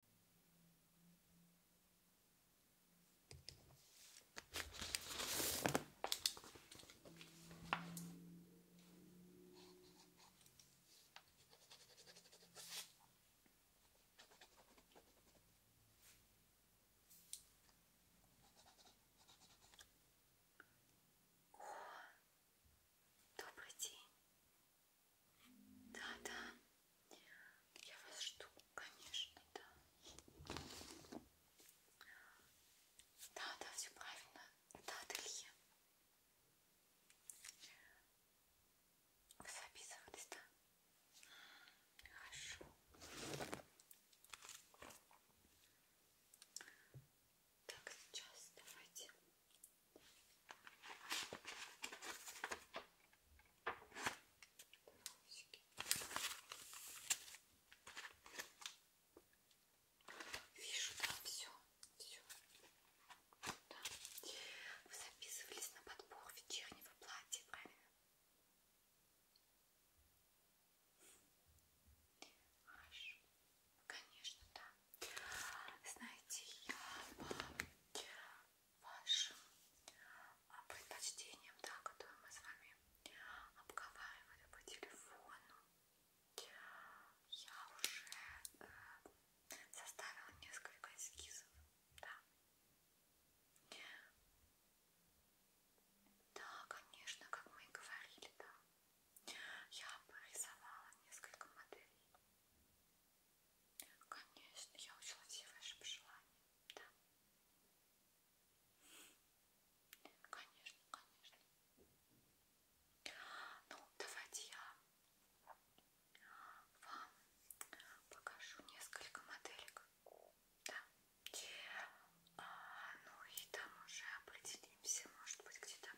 О, добрый день. Да-да, я вас жду, конечно, да. Да-да, все правильно. Да, Делье. Вы записывались, да? Хорошо. Так, сейчас давайте Вижу, да, все, все. Да. Вы записывались на подбор вечернего платья, правильно? Хорошо. Конечно, да. Знаете, я вам вашим а, предпочтениям, да, которые мы с вами обговаривали по телефону. Я уже э, составила несколько эскизов, да. Да, конечно, как мы и говорили, да. Я порисовала несколько моделей. Конечно, я учла все ваши пожелания, да? Конечно, конечно. Ну, давайте я вам покажу несколько моделек. Да. А, ну и там уже определимся, может быть, где-то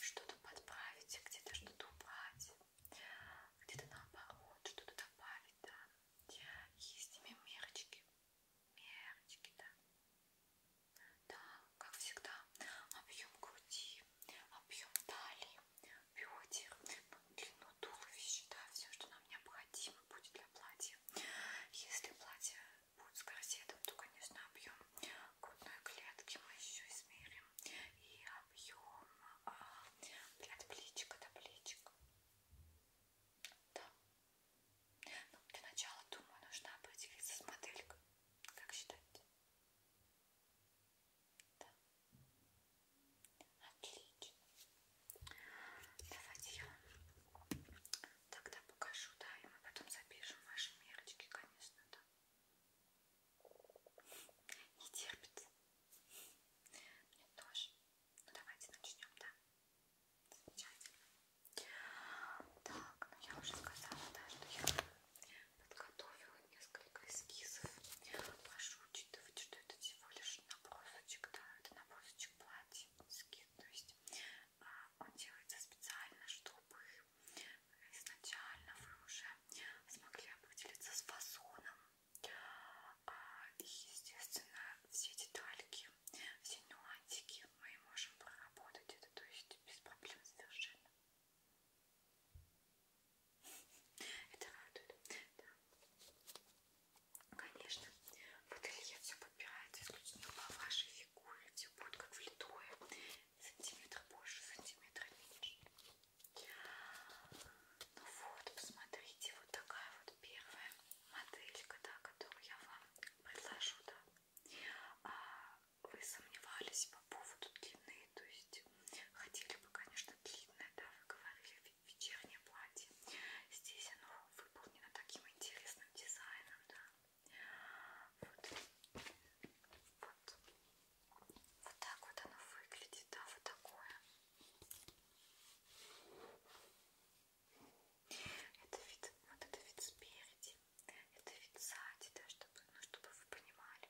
что-то подправить, где-то что-то убрать где-то наоборот что-то добавить, да. Есть ими мерочки, мерочки, да. Да, как всегда, объем груди, объем талии, бедер, ну, длину туловища, да, все, что нам необходимо будет для платья. Если платье будет с корсетом, то, конечно, объем грудной клетки мы еще измерим и объем от а, плечика до плечика. Да. Ну, для начала, думаю, нужно определиться с моделькой. Как считаете? Да. Отлично. Давайте я тогда покажу, да, и мы потом запишем ваши мерочки, конечно, да. Не терпится. Мне тоже. Ну давайте начнем, да? Замечательно. Так, ну я уже сказала, да, что я подготовила несколько эскизов. Прошу учитывать, что это всего лишь набросочек, да, это набросочек платья, эскиз, то есть а, он делается специально, чтобы изначально вы уже смогли определиться с фасоном. А, и, естественно, все детальки, все нюансики мы можем проработать это, то есть без проблем совершенно. Это радует, да. Конечно, в ателье все подбирается исключительно по вашей фигуре, все будет как влитое, сантиметр больше, сантиметр меньше. Ну вот, посмотрите, вот такая вот первая моделька, да, которую я вам предложу, да. А вы сомневались по поводу длины, то есть хотели бы, конечно, длинное, да, вы говорили, вечернее платье. Здесь оно выполнено таким интересным дизайном, да. Вот. Вот. Вот так вот оно выглядит, да, вот такое. Это вид, вот это вид спереди, это вид сзади, да, чтобы, ну, чтобы вы понимали.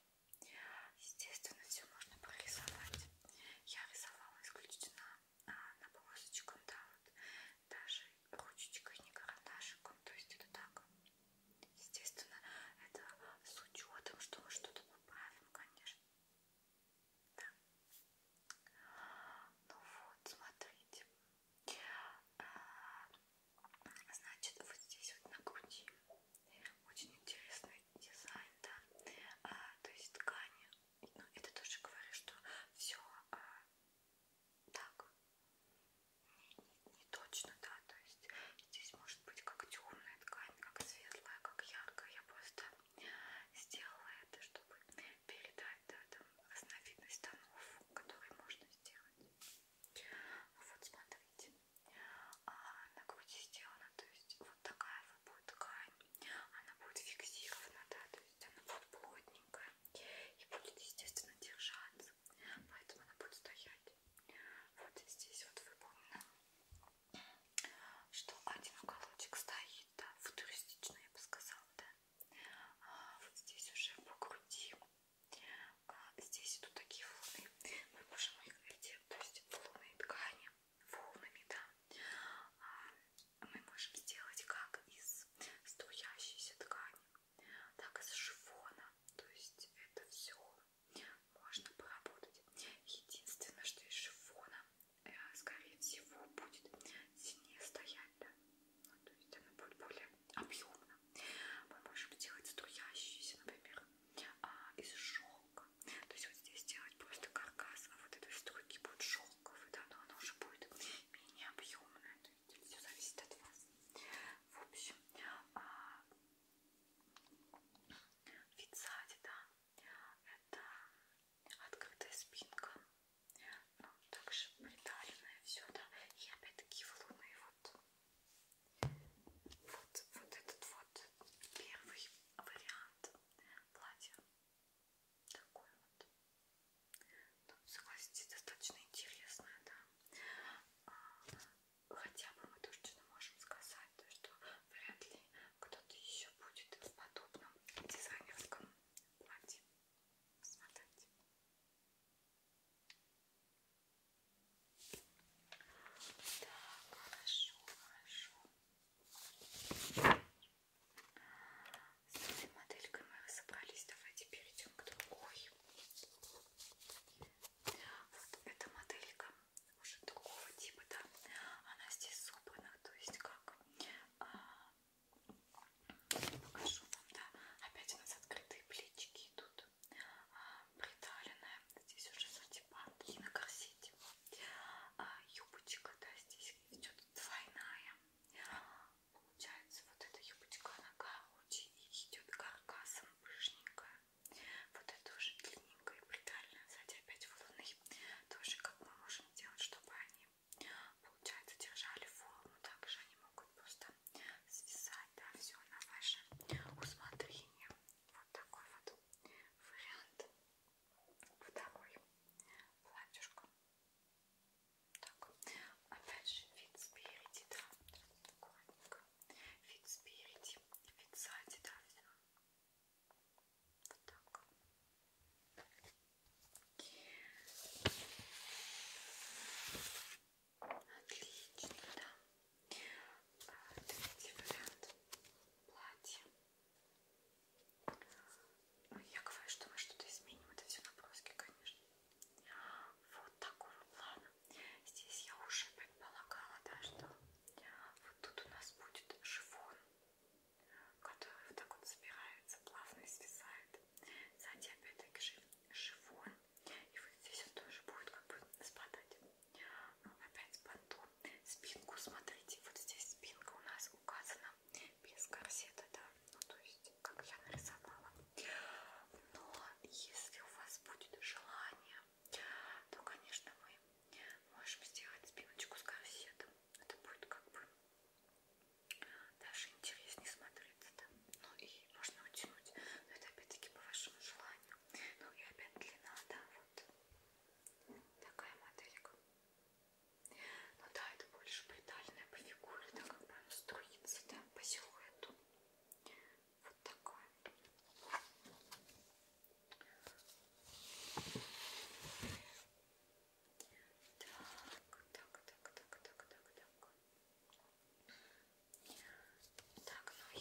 Естественно, все можно прорисовать. Я рисовала исключительно а, на полосочку, да, вот даже ручечкой, не карандашиком, то есть это так Естественно, это с учетом, что мы что-то поправим, конечно. Да. Ну вот, смотрите. А, значит, вот здесь вот на груди очень интересный дизайн, да. А, то есть ткани. Ну, это тоже говорит, что все а, так не точно, да, то есть здесь может быть как темная ткань, как светлая, как яркая. Я просто сделала это, чтобы передать да, там, разновидность тонов, которые можно сделать. Ну, вот смотрите, а, на груди сделана, то есть вот такая вот будет ткань, она будет фиксирована, да, то есть она вот плотненькая и будет, естественно, держаться глаз, поэтому она будет стоять вот здесь вот выполнена, что один уголочек стоит, да, футуристично я бы сказала, да, а вот здесь уже по груди, а здесь идут такие волны, мы можем их найти, то есть волны ткани, волнами, да, а мы можем сделать как из струящейся ткани, так из шифона, то есть это все можно поработать. Единственное, что из шифона, э, скорее всего, будет сильнее стоять, да? ну, то есть она будет более объемна. Мы можем делать струящиеся, например, а, из шелка. То есть вот здесь делать просто каркас, а вот этой струйки будет шелковый, да, но она уже будет менее объемная. То есть все зависит от вас. В общем, а, Вид сзади, да, это открытая спинка, ну, также приталенное все, да, и опять-таки лунные вот. вот, вот этот вот первый вариант платья, такой вот, ну, согласитесь, достаточно интересное, да, а, хотя бы мы точно можем сказать, что вряд ли кто-то еще будет в подобном дизайнерском платье. Смотрите. Так, хорошо, хорошо. С этой моделькой мы разобрались. Давайте перейдем к другой. Вот эта моделька уже другого типа, да, она здесь собрана, то есть как а, покажу вам, да, опять у нас открытые плечики идут, а, приталенная, здесь уже сатипанки на корсете, а, юбочка, да, здесь идет двойная, получается вот эта юбочка, она короче и идет каркасом пышненькая. Вот это уже длинненькая и брутальная. Кстати, опять в луны. Тоже как мы можем делать, чтобы они, получается, держали форму. Также они могут просто свисать, да, все на ваше усмотрение. Вот такой вот вариант. Второй платьюшко. Так, опять же вид спереди, да, аккуратненько вид спереди и вид сзади, да, все. Вот так. Отлично, да. А, третий вариант платья. Ну, я говорю, что мы что-то изменим, это все наброски, конечно. Вот такого плана. Здесь я уже предполагала, да, что вот тут у нас будет шифон, который вот так вот собирается, плавно свисает. Сзади опять-таки шифон. И вот здесь он тоже будет как бы спадать. Ну, опять с бантом. Спинку, смотрите, вот здесь спинка у нас указана без корсета, да, ну то есть, как я нарисовала. Но если у вас будет желание, то, конечно, мы можем сделать спиночку с корсетом. Это будет как бы даже интереснее смотреться. Да? Ну и можно утянуть. Но это опять-таки по вашему желанию. Ну и опять длина, да, вот такая моделька. Ну да, это больше притальная по фигуре, да, как бы струится, да, по силуэту. Вот такой. Так, так, так, так, так, так, так. Так, ну и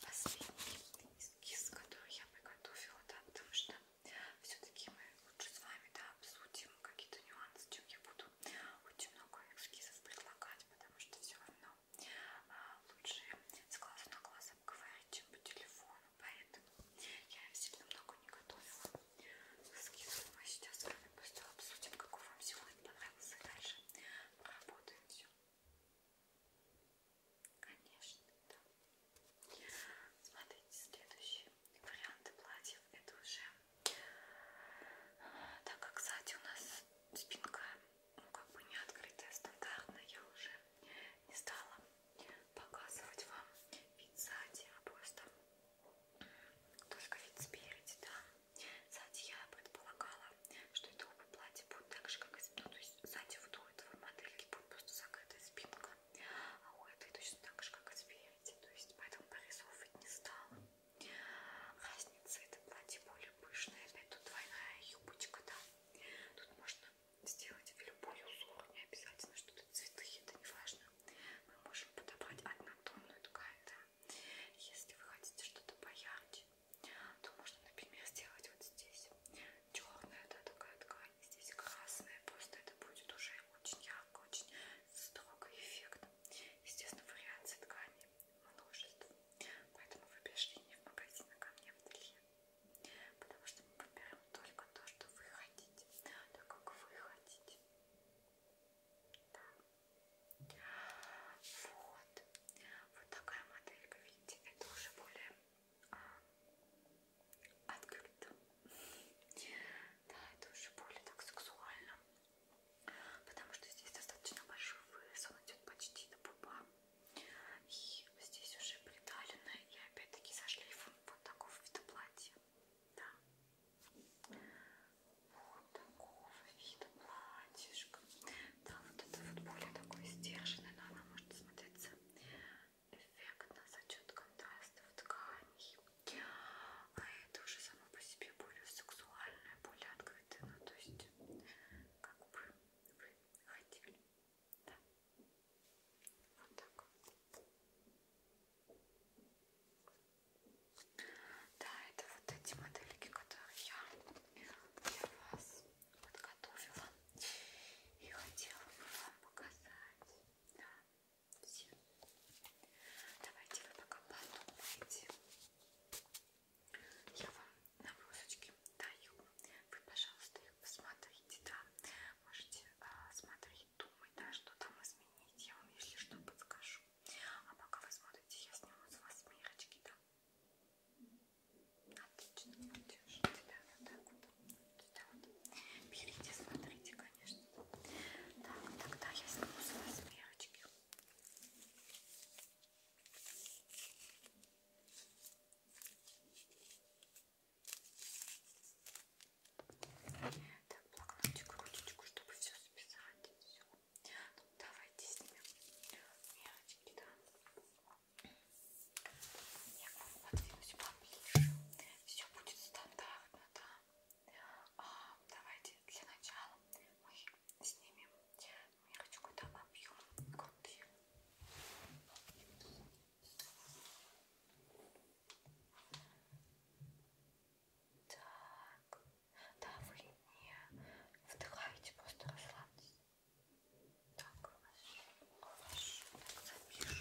последний эскиз, который я приготовила, да, потому что все-таки мы лучше с вами, да, обсудим какие-то нюансы, чем я буду очень много эскизов предлагать, потому что все равно а, лучше с глазу на глаз обговорить, чем по телефону, поэтому я сильно много не готовила эскизов. Мы сейчас с вами просто обсудим, какой вам сегодня понравился, дальше поработаем все. Конечно, да. Смотрите, следующие варианты платьев это уже так как сзади у нас спинка ну, как бы не открытая стандартная, я уже не стала показывать вам вид сзади, а просто только вид спереди, да. Сзади я предполагала, что это оба платья будут так же, как и ну, то есть сзади вот у этого модельки будет просто закрытая спинка, а у этой точно так же, как и спереди, то есть поэтому прорисовывать не стала. Разница это платье более пышное, опять тут двойная юбочка, да. Тут можно сделать в любой узор, не обязательно, что тут цветы, это не важно. Мы можем подобрать однотонную ткань, да. Если вы хотите что-то поярче, то можно, например, сделать вот здесь черная, да, такая ткань, здесь красная, просто это будет уже очень ярко, очень строго эффектно. Естественно, вариаций тканей множество. Поэтому вы пришли не в магазин, а ко мне в ателье. Потому что мы подбираем только то, что вы хотите. Так как вы хотите. Да. Вот. Вот такая моделька, видите, это уже более а, открыто. Да, это уже более так сексуально потому что здесь достаточно большой вырез, он идет почти до пупа. И здесь уже приталено и опять-таки со шлейфом вот такого вида платья. Да. Вот такого вида платьишко. Да, вот это вот более такой сдержанный, но она может смотреться эффектно за счет контрастов тканей. А это уже само по себе более сексуальное, более открытое. Ну, то есть, как бы вы хотели. Да. Вот так. Да, это вот эти модельки, которые я для вас подготовила и хотела бы вам показать. Да. Все. Давайте вы пока подумайте. Я вам набросочки даю. Вы, пожалуйста, их посмотрите, да. Можете э, смотреть, думать, да, что там изменить. Я вам, если что, подскажу. А пока вы смотрите, я сниму с вас мерочки, да. Отлично, держите, да, вот так вот. Да, вот. Берите, смотрите, конечно. Так, тогда я сниму с вас мерочки. Так, блокнотик, ручечку, чтобы все записать. Все. Ну, давайте снимем мелочки, да. Я к вам подвинусь поближе. Все будет стандартно, да. А, давайте для начала мы снимем мирочку, там объем груди. Так, да, вы не вдыхаете, просто расслабьтесь. Так, хорошо, хорошо, так запишем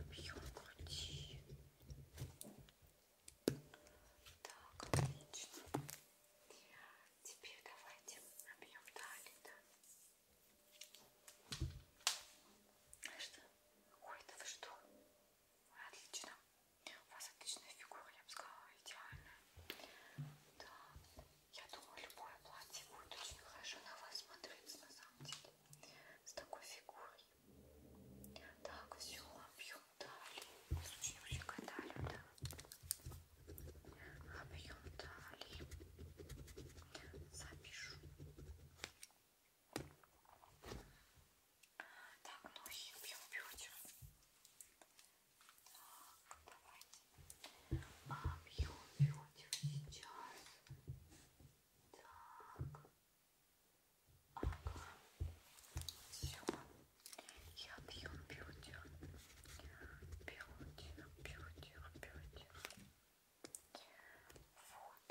объем груди. Так, отлично. Теперь давайте объем талии, да? А что? Ой, да вы что? Отлично. У вас отличная фигура, я бы сказала, идеальная. Да, я думаю, любое платье будет очень хорошо на вас смотреться, на самом деле с такой фигурой. Так, все, объем талии. Сучнюсика талию, да. Объем талии. Запишу. Так, ноги объем бедер. Так, давайте. Объем бедер сейчас. Так. Ага. Все. Я пью бьюти. Бьюти, бьюти, бьюти. Вот.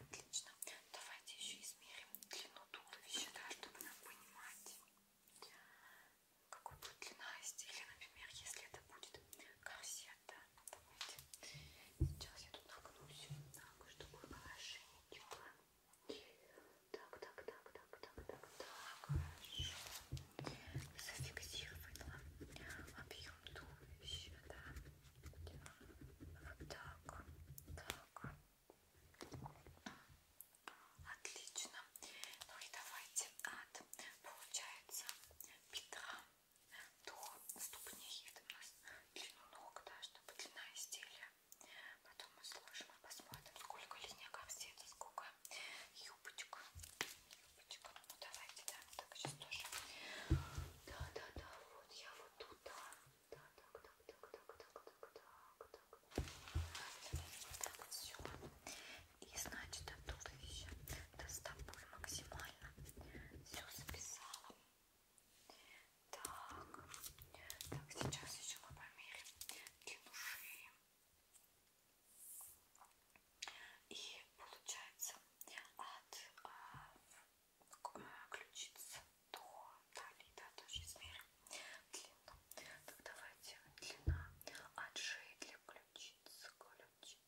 Отлично. Давайте еще измерим длину туловища, да, чтобы нам понимать, какой будет длина изделия. Например, если это будет корсет, да, давайте. Сейчас я тут нагнусь, так, чтобы хорошенько. Так, так, так, так, так, так, так, хорошо. Зафиксировала объем туловища, да. Вот так, так. Отлично. Ну и давайте от, получается, бедра дух ступней это у нас длину ног, да, чтобы длина изделия. Потом мы сложим и посмотрим, сколько лизняков здесь, сколько юбочек. Юбочек. Ну давайте, да, так сейчас тоже. Да, да, да, вот я вот тут, да. Да, так, так, так, так, так, так, так, так. Так, все. И значит, оттуда еще да, с тобой максимально все записала. Так, так сейчас еще мы померим длину шеи. И получается от а, э, ключицы до талии, да, тоже измерим длину. Так давайте длина от шеи для ключицы. Ключ чуть,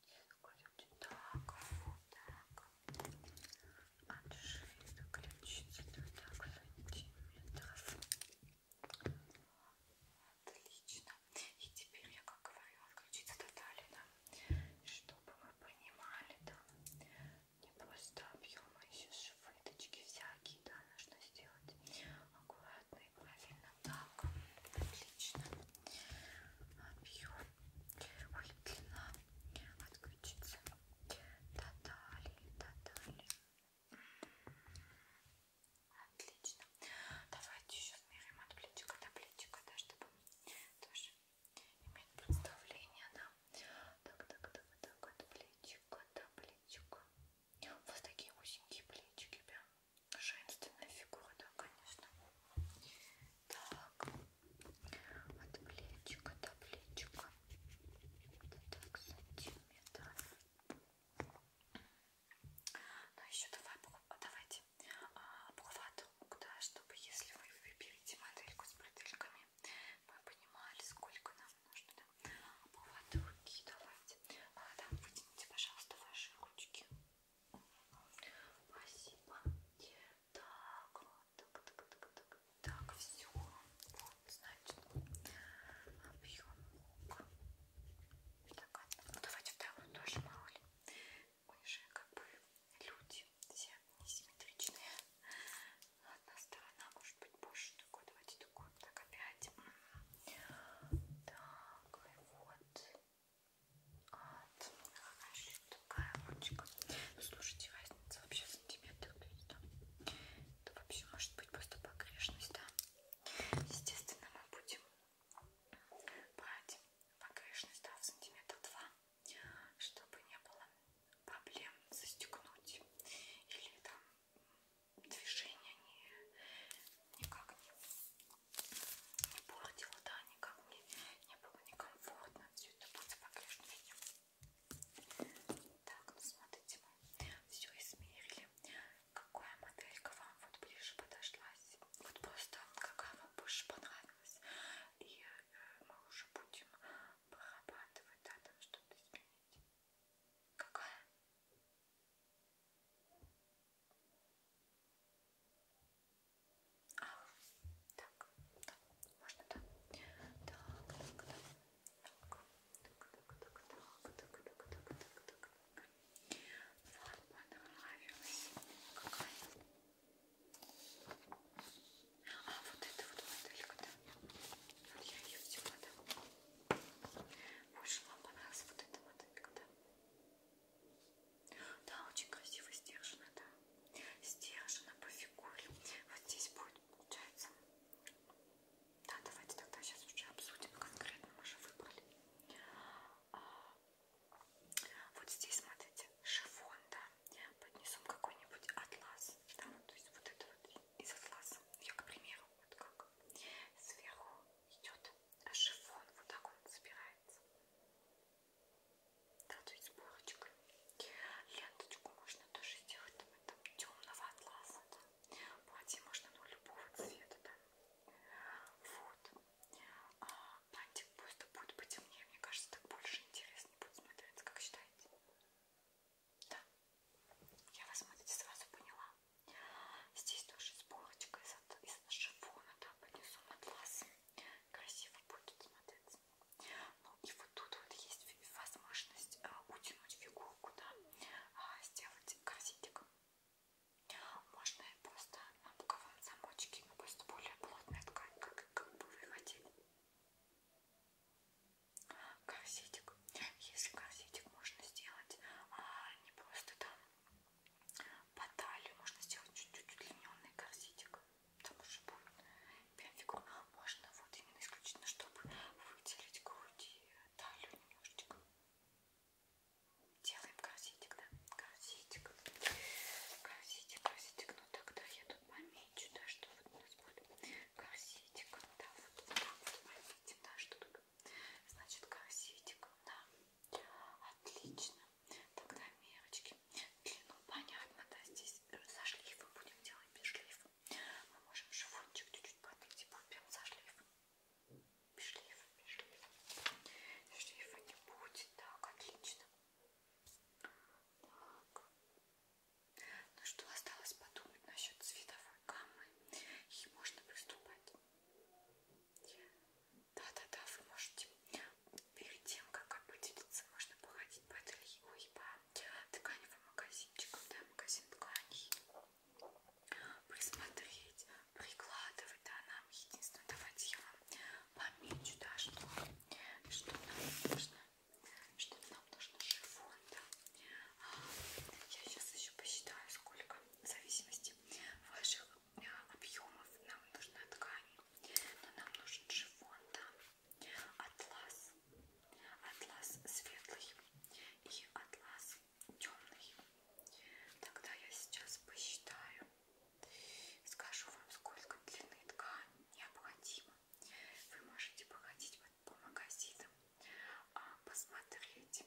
кладем чуть так, вот так, от шеи до ключицы, да, так, сантиметров. Отлично. И теперь я, как говорю, отключиться до талина, чтобы вы понимали, да, не просто объемы, еще швыточки всякие, да, нужно сделать аккуратно и правильно. Так, отлично. Объем Уйдлина отключится. Татали, татали. Отлично. Давайте еще смерим от плечика до плечика, да, чтобы тоже иметь представление, да. Так, так, так, так, от плечика до плечика. У вас такие узенькие плечики, прям. Да? женственная фигура, да, конечно. Так, от плечика до плечика. Это так, сантиметр. Ну еще давай, а, давайте обхват а, рук, да, чтобы если вы выберете модельку с бретельками, мы понимали, сколько нам нужно. Да? Обхват руки давайте. А, да, вытяните, пожалуйста, ваши ручки. Спасибо. Так, вот, так, так, так, так. Так, все. Вот, значит, объем лука. Так, а, ну давайте вторую тоже мороли. Мы же как бы люди все несимметричные. Одна сторона может быть больше такой. Давайте такой. Так, опять. Так, вот. Вот, хорошо, такая ручка. Ну, слушайте, разница вообще в сантиметрах да? Это вообще может быть просто погрешность, да? Естественно, мы будем брать погрешность, да, в сантиметр два, чтобы не было проблем застегнуть или там движение не, никак не не портила, да, никак мне не было некомфортно. Все это будет погрешнее. Так, ну смотрите, мы все измерили. Какая моделька вам вот ближе подошлась? Вот просто какая вам больше понравилась. И э, мы уже будем прорабатывать, да, там что-то изменить. Какая? А, так, да, можно, да? Так, так, да. Так, так, так, так, так, так, так, так, так, так. Вот, понравилось. Какая? А, вот это вот моделька, да? Вот я ее взяла, да? Больше вам понравилась вот эта моделька, да? Да, очень красиво стержень, да. Стержень по фигуре. Вот здесь будет, получается. Да, давайте тогда сейчас уже обсудим конкретно, мы же выбрали. А, вот здесь, смотрите, шифон, да. Поднесем какой-нибудь атлас, да, ну, то есть вот это вот из атласа. Я, к примеру, вот как сверху идет а шифон вот так он собирается. Да, то есть сборочка. Ленточку можно тоже сделать там, там темного атласа, да. Платье можно ну, любого цвета, да. Вот. А, плантик просто будет потемнее. Мне кажется, так больше интересно будет смотреться, как считаете? Да. Я вас, смотрите, сразу поняла. Здесь тоже сборочка из, из на шифон, да, понесу атлас. Красиво будет смотреться. Ну и вот тут вот есть возможность а, утянуть фигурку, да, а, сделать корсетик. Можно и просто на боковом замочке, но просто более плотная ткань, как, как бы вы хотели. Корсетик. Если корсетик можно сделать а, не просто там по талии можно сделать чуть-чуть удлиненный корсетик. Потому что будет прям фигура. Можно вот именно исключительно, чтобы выделить грудь и талию немножечко. Делаем корсетик, да? Корсетик. Корсетик, корсетик. Ну тогда я тут помечу, да, что вот у нас будет корсетик. Да, вот, вот так вот пометим, да, что тут. Значит, корсетик, да. Отлично. Тогда мерочки. Длину понятно, да, здесь со шлифом будем делать без шлифа. Мы можем шифончик чуть-чуть подбить и будем со шлифом. Без шлифа, без шлифа. Шлифа не будет. Так, отлично. Так. Ну что, осталось подумать насчет цветовой гаммы. И можно приступать. Да-да-да, вы можете. Перед тем, как определиться, можно походить по ателье, ой, по тканевым магазинчикам, да, магазин тканей. Присмотреть, прикладывать, да, нам единственное, давайте я вам помечу, да, что, что нам нужно, что нам нужно шифон, да. А, я сейчас еще посчитаю, сколько в зависимости ваших объемов нам нужна ткань, но нам нужен шифон, да, атлас, атлас светлый и атлас темный. Тогда я сейчас посчитаю, скажу вам, сколько длины ткани необходимо. Вы можете походить по магазинам, а, посмотреть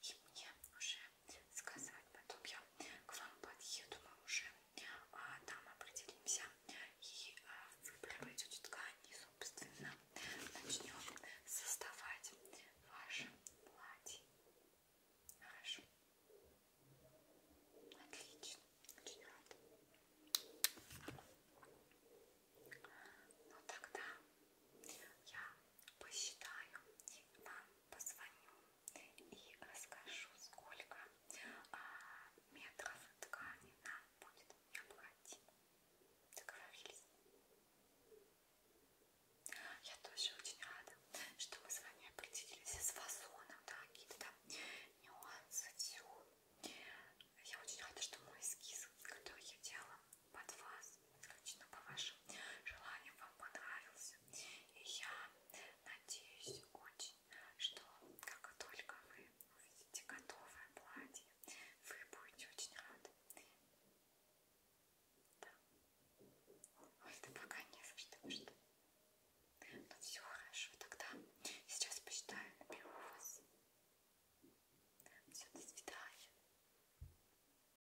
и мне уже сказать. Потом я к вам подъеду, мы уже а, там определимся и а, вы проведете ткань и, собственно, начнем создавать ваше платье. Хорошо. Отлично. Очень рада. Ну тогда я посчитаю вам позвоню и расскажу, сколько а, метров ткани нам будет необходимо. Договорились? Я тоже очень рада, что мы с вами определились с фасоном, да, какие-то там нюансы, все. Я очень рада, что мой эскиз, который я делала, под вас, исключительно по вашим желаниям вам понравился. И я надеюсь очень, что как только вы увидите готовое платье, вы будете очень рады. Да. Ой, да пока не за что, что. Ну все хорошо, тогда сейчас посчитаю, наберу вас. Все, до свидания.